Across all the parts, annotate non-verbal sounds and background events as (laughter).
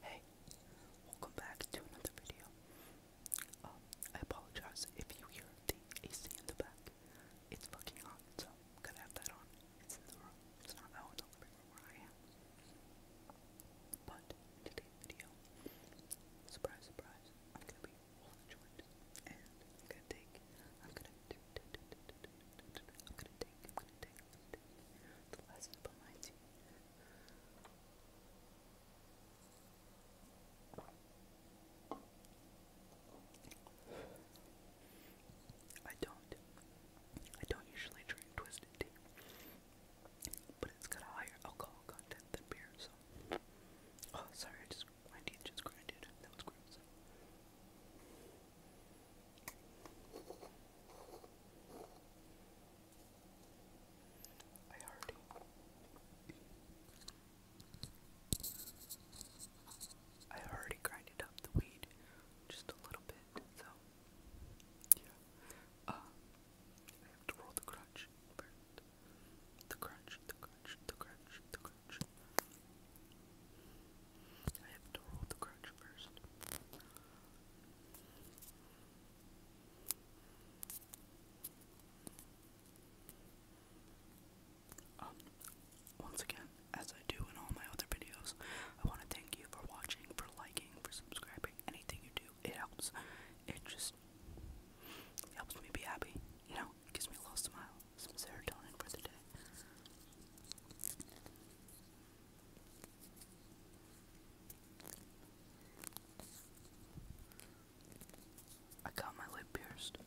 Hey, welcome back to another video. Um, I apologize if you hear the AC in the back. It's fucking hot, so gonna have that on. It's in the room. It's not out oh, in the where I am. But today's video, surprise, surprise, I'm gonna be all joined, and I'm gonna take, I'm gonna, do, do, do, do, do, do, do, do, I'm gonna take, I'm gonna take, I'm gonna take the lessons behind you. I don't. I don't usually drink twisted tea, but it's got a higher alcohol content than beer. So, oh, sorry, just my teeth just grinded. That was gross. I already. I already grinded up the weed just a little bit, so yeah. Uh, I have to roll the crunch first. The crunch, the crunch, the crunch, the crunch. I have to roll the crunch first. Um, once again, as I do in all my other videos, I want to thank you for watching, for liking, for subscribing. Anything you do, it helps. It just helps me be happy. You know, gives me a little smile, some serotonin for the day. I got my lip pierced.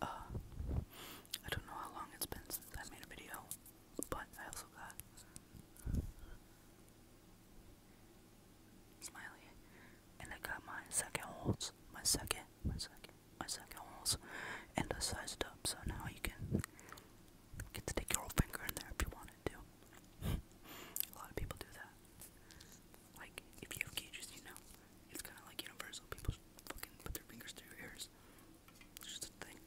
Uh, I don't know how long it's been since I made a video, but I also got Smiley, and I got my second holes, my second, my second, my second holes, and I sized up, so now you can you get to stick your whole finger in there if you wanted to. (laughs) a lot of people do that. Like, if you have cages, you know, it's kind of like universal. People fucking put their fingers through your ears. It's just a thing.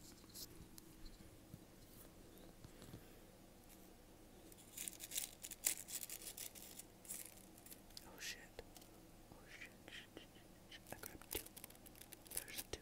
Oh shit. Oh shit. shit, shit, shit. I grabbed two. There's two.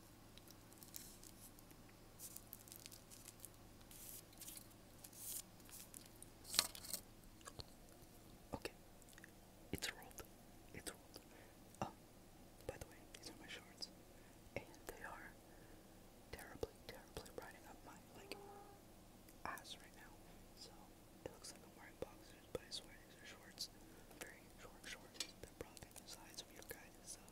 Okay, it's rolled. It's rolled. Oh, by the way, these are my shorts, and they are terribly, terribly riding up my like ass right now. So it looks like I'm wearing boxers, but I swear these are shorts. Very short shorts. They're probably the size of your guys' uh,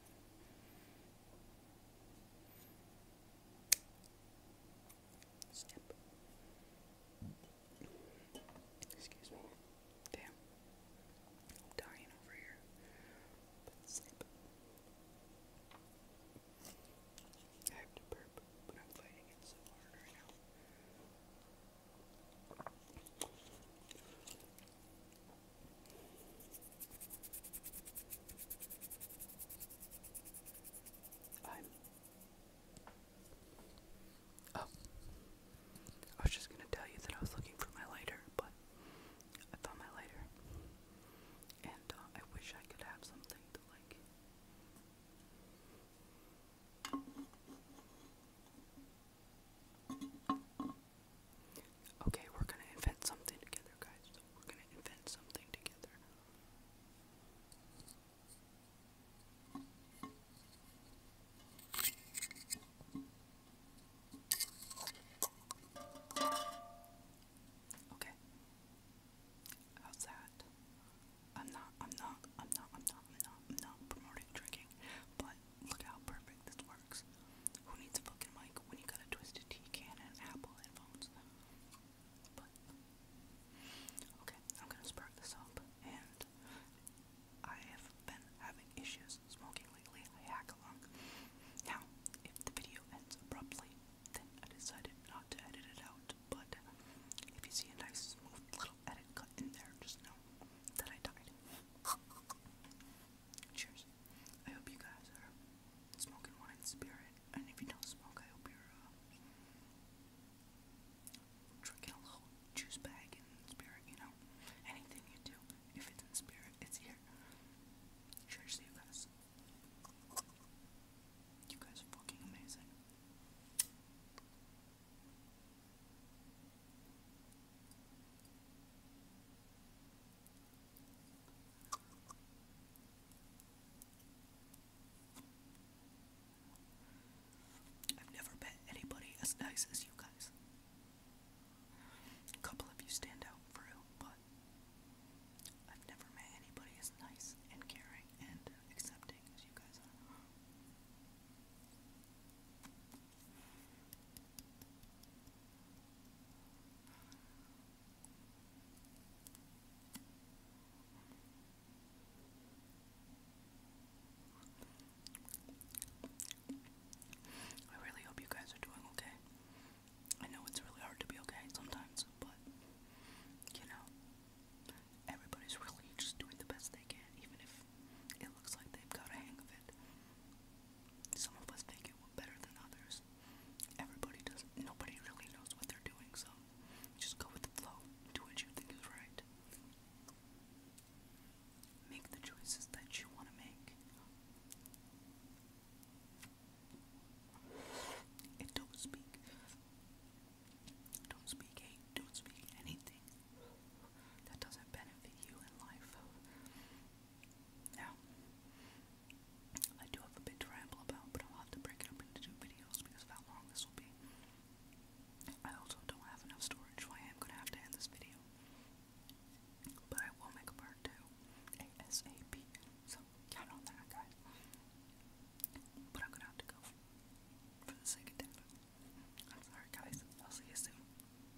Step. Excuse me. Damn. I'm dying over here. I have to burp, but I'm fighting it so hard right now i Oh. I was just gonna tell you that I was looking for my lighter, but I found my lighter. And uh, I wish I could have something to like. Okay, we're gonna invent something together, guys. So we're gonna invent something together. Okay. How's that? I'm not I'm not I'm not I'm not I'm not I'm not promoting drinking, but look how perfect this works. Who needs a fucking mic when you got a twisted tea can and Apple headphones? But okay, I'm gonna spark this up, and I have been having issues smoking lately. I hack along. Now, if the video ends abruptly, then I decided not to edit it out. But if you see a nice smooth little edit cut in there, just know that I died. Cheers. I hope you guys are smoking wine in spirit, and if you don't smoke, I hope you're uh, drinking a juice bag in spirit, you know? Anything you do, if it's in spirit, it's here. Cheers to you guys. You guys fucking amazing. I've never met anybody as nice as you guys. A couple of you stand out for real, but I've never met anybody as nice and caring and accepting as you guys are. I really hope you guys are doing okay. I know it's really hard to be okay sometimes, but you know, everybody's really just doing the best they can, even if it looks like they've got a hang of it it. Some of us think it better than others. Everybody does. Nobody really knows what they're doing, so just go with the flow. Do what you think is right. Make the choices that you want to make. don't speak. Don't speak hate. Don't speak anything that doesn't benefit you in life. Now, I do have a bit to ramble about, but I'll have to break it up into two videos because how long this will be. I also don't have enough storage, so I am going to have to end this video. But I will make a part two, ASAP, so count on that, guys. But I'm going to have to go for the sake of I'm sorry, guys. I'll see you soon.